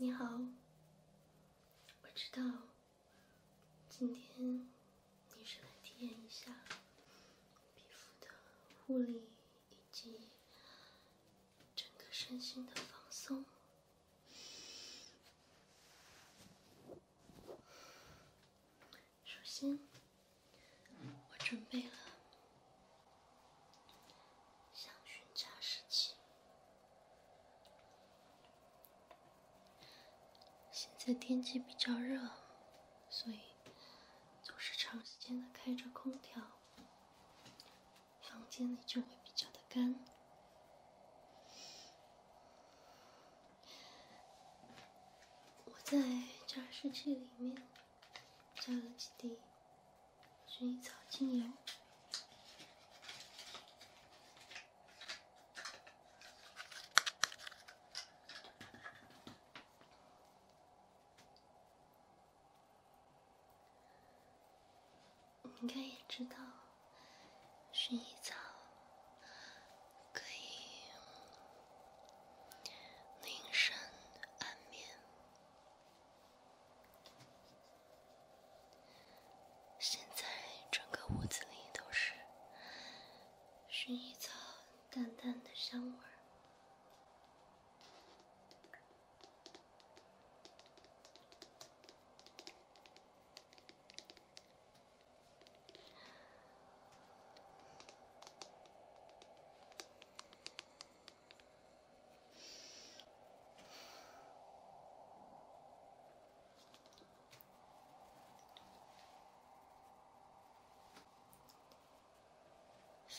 你好，我知道今天你是来体验一下皮肤的护理以及整个身心的放松。首先，我准备了。香薰加湿器。现在天气比较热，所以总是长时间的开着空调，房间里就会比较的干。我在加湿器里面加了几滴。薰衣草精油，你可以知道，薰衣草可以宁神安眠。现在整个屋子里都是薰衣草淡淡的香味儿。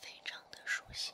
非常的舒心。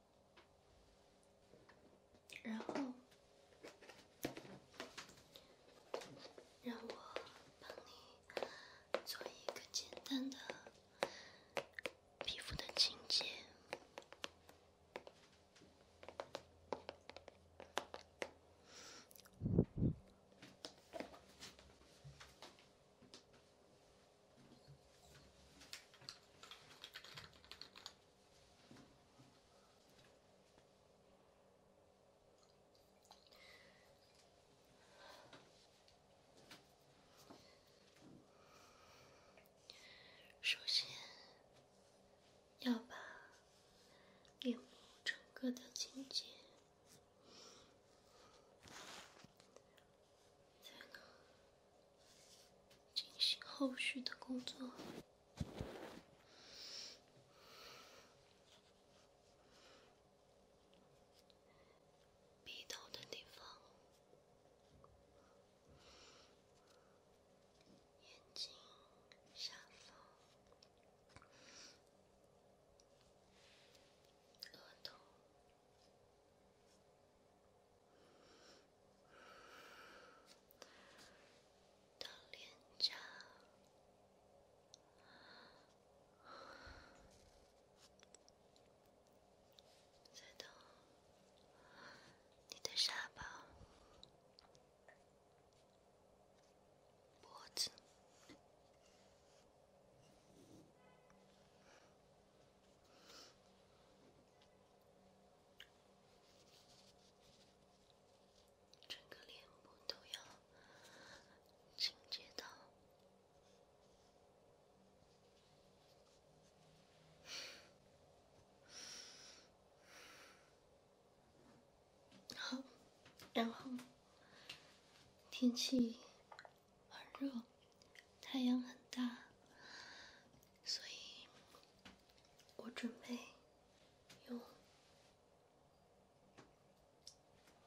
然后，让我帮你做一个简单的皮肤的清洁。首先要把脸部整个的清洁，进行后续的工作，鼻头的地方，眼睛下方，额头。的脸颊，再到你的下巴、脖子。整个脸部都要清洁到。好，然后天气很热，太阳很大。所以，我准备用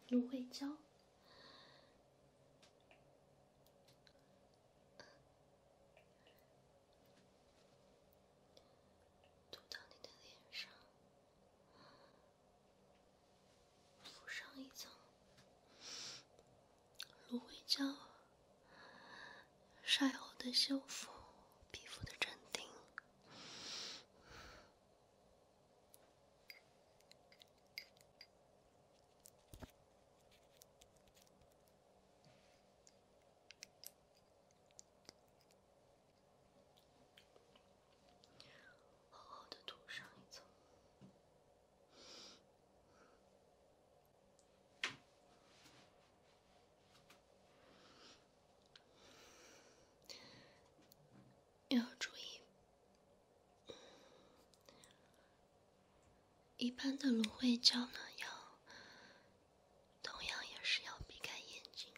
芦荟胶涂到你的脸上，敷上一层。芦荟胶，晒后的修复，皮肤的镇定，厚厚的涂上一层。要注意，一般的芦荟胶呢，要同样也是要避开眼睛。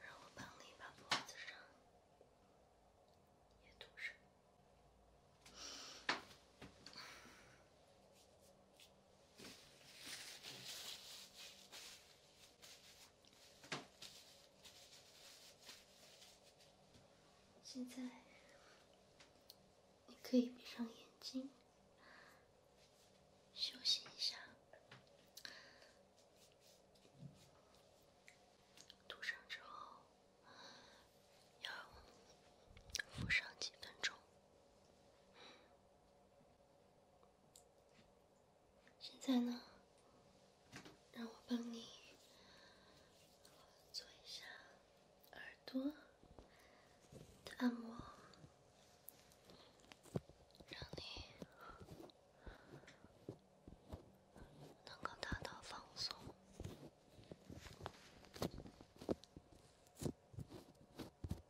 让我帮你把脖子上也堵上。现在，你可以闭上眼睛，休息一下。涂上之后，要敷上几分钟。现在呢，让我帮你做一下耳朵的按摩，让你能够达到放松。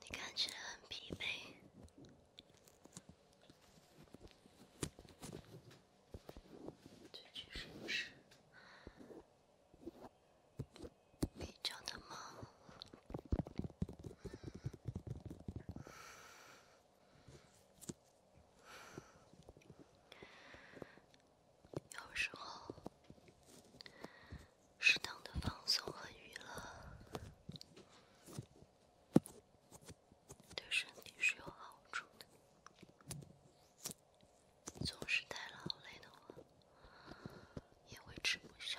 你感觉很疲惫，最近是不是非常的忙？有时候，适当的放松和娱乐对身体是有好处的。总是太劳累的话，也会吃不消。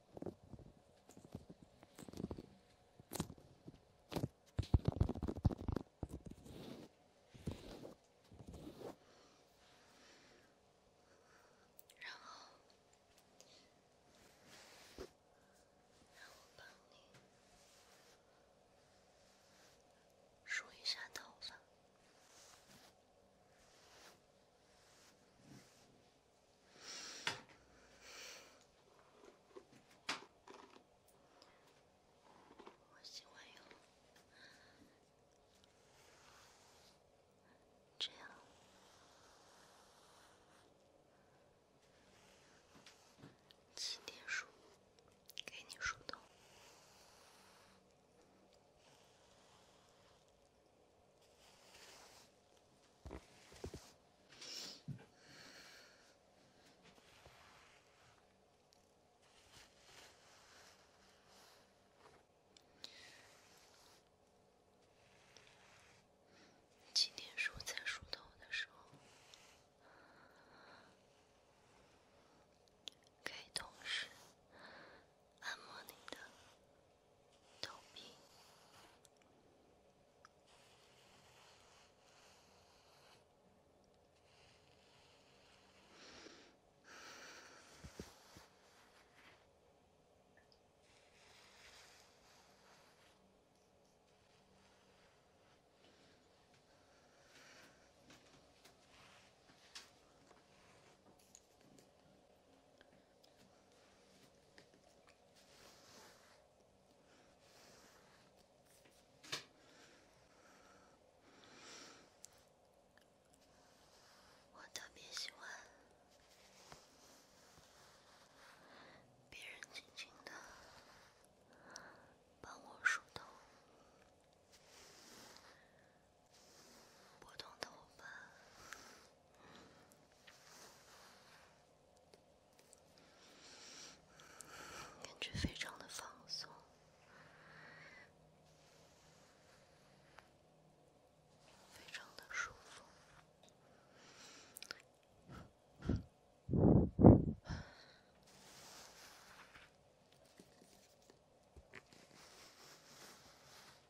然后，让我帮你梳一下头发。我喜欢用这样，今天梳，给你梳头。今天我在梳头的时候，给同事按摩你的。逗逼。我特别喜欢别人轻轻的帮我梳头。拨动头发，感觉非常的放松，非常的舒服。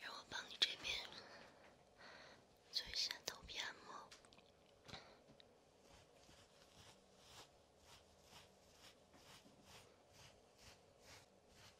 让我帮你这边做一下头皮按摩。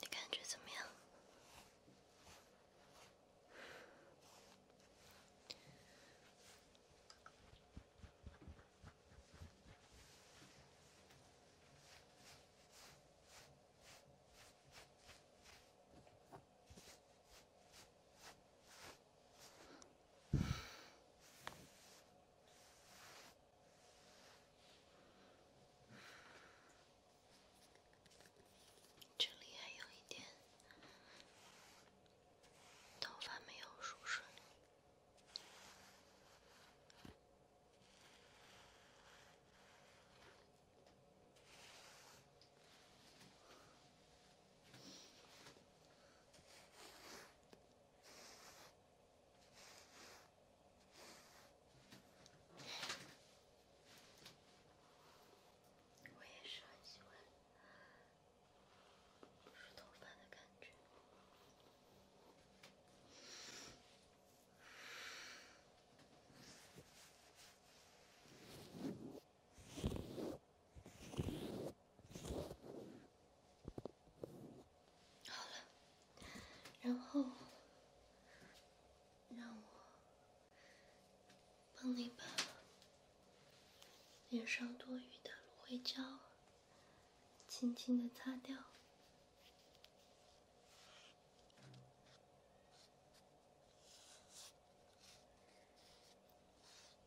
你感觉怎么样？这里还有一点头发没有梳顺。我也是很喜欢梳头发的感觉。好了，然后让我帮你把脸上多余的芦荟胶轻轻的擦掉。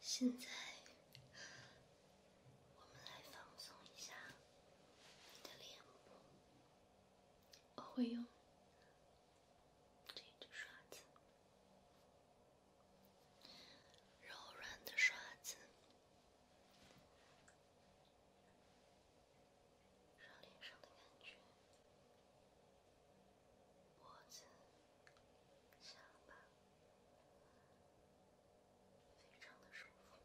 现在，我们来放松一下你的脸部。我会用这支刷子，柔软的刷子。让脸上的感觉，脖子、下巴，非常的舒服。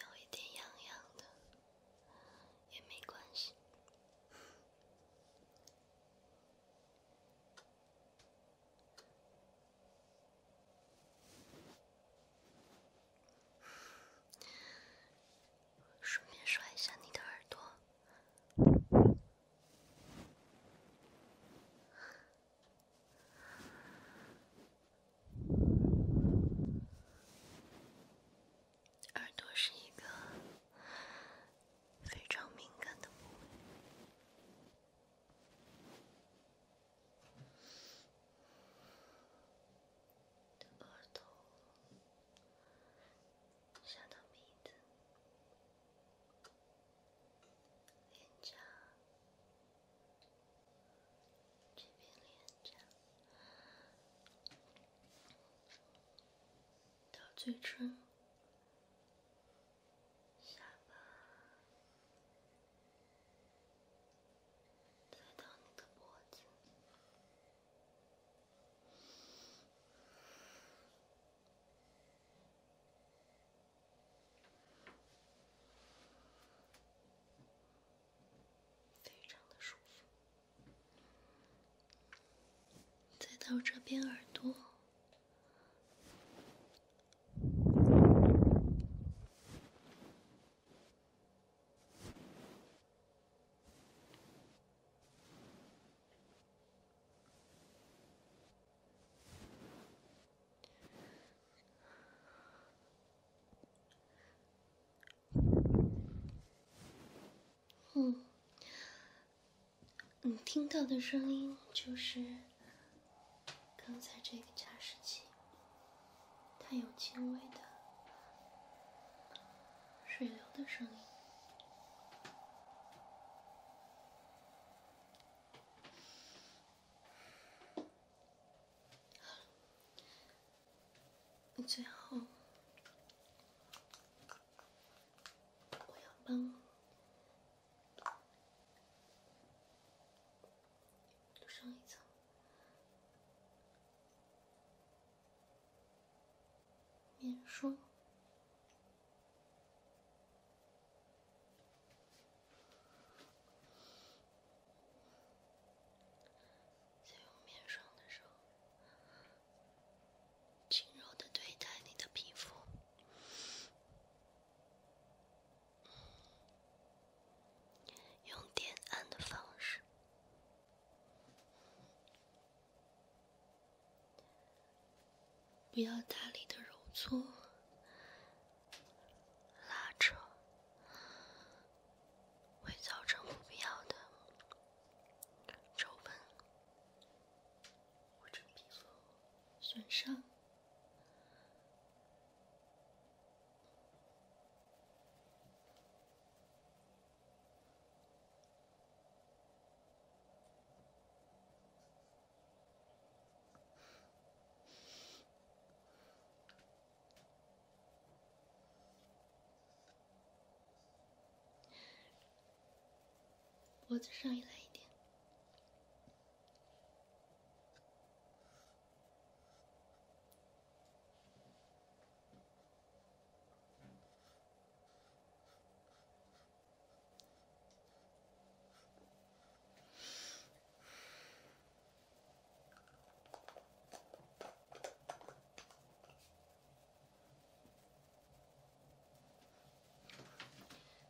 有一点痒痒的，也没关系。顺便刷一下你的耳朵。耳朵是一个非常敏感的部位，耳朵、下的鼻子、脸颊。这边脸颊，到嘴唇，下巴，再到你的脖子。非常的舒服，再到这边耳朵。嗯，你听到的声音就是刚才这个加湿器，它有轻微的水流的声音。最后，我要帮面霜。在用面霜的时候，轻柔的对待你的皮肤，用点按的方式，不要大力的揉搓。拉扯会造成不必要的皱纹，或者皮肤损伤。脖子上也来一点。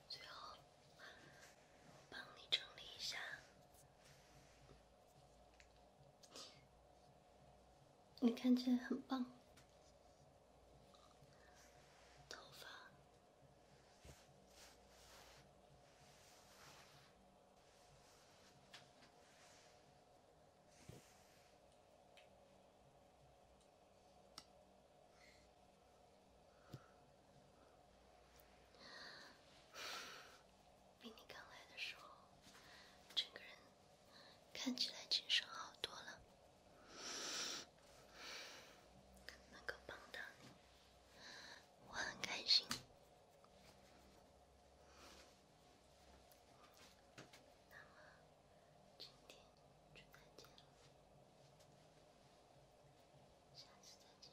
最后，帮你整理一下，你看起来很棒，头发。比你刚来的时候，整个人看起来精神好多了，能够帮到你。我很开心，那么今天就再见了，下次再见。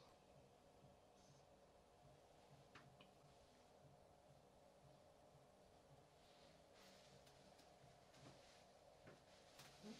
嗯。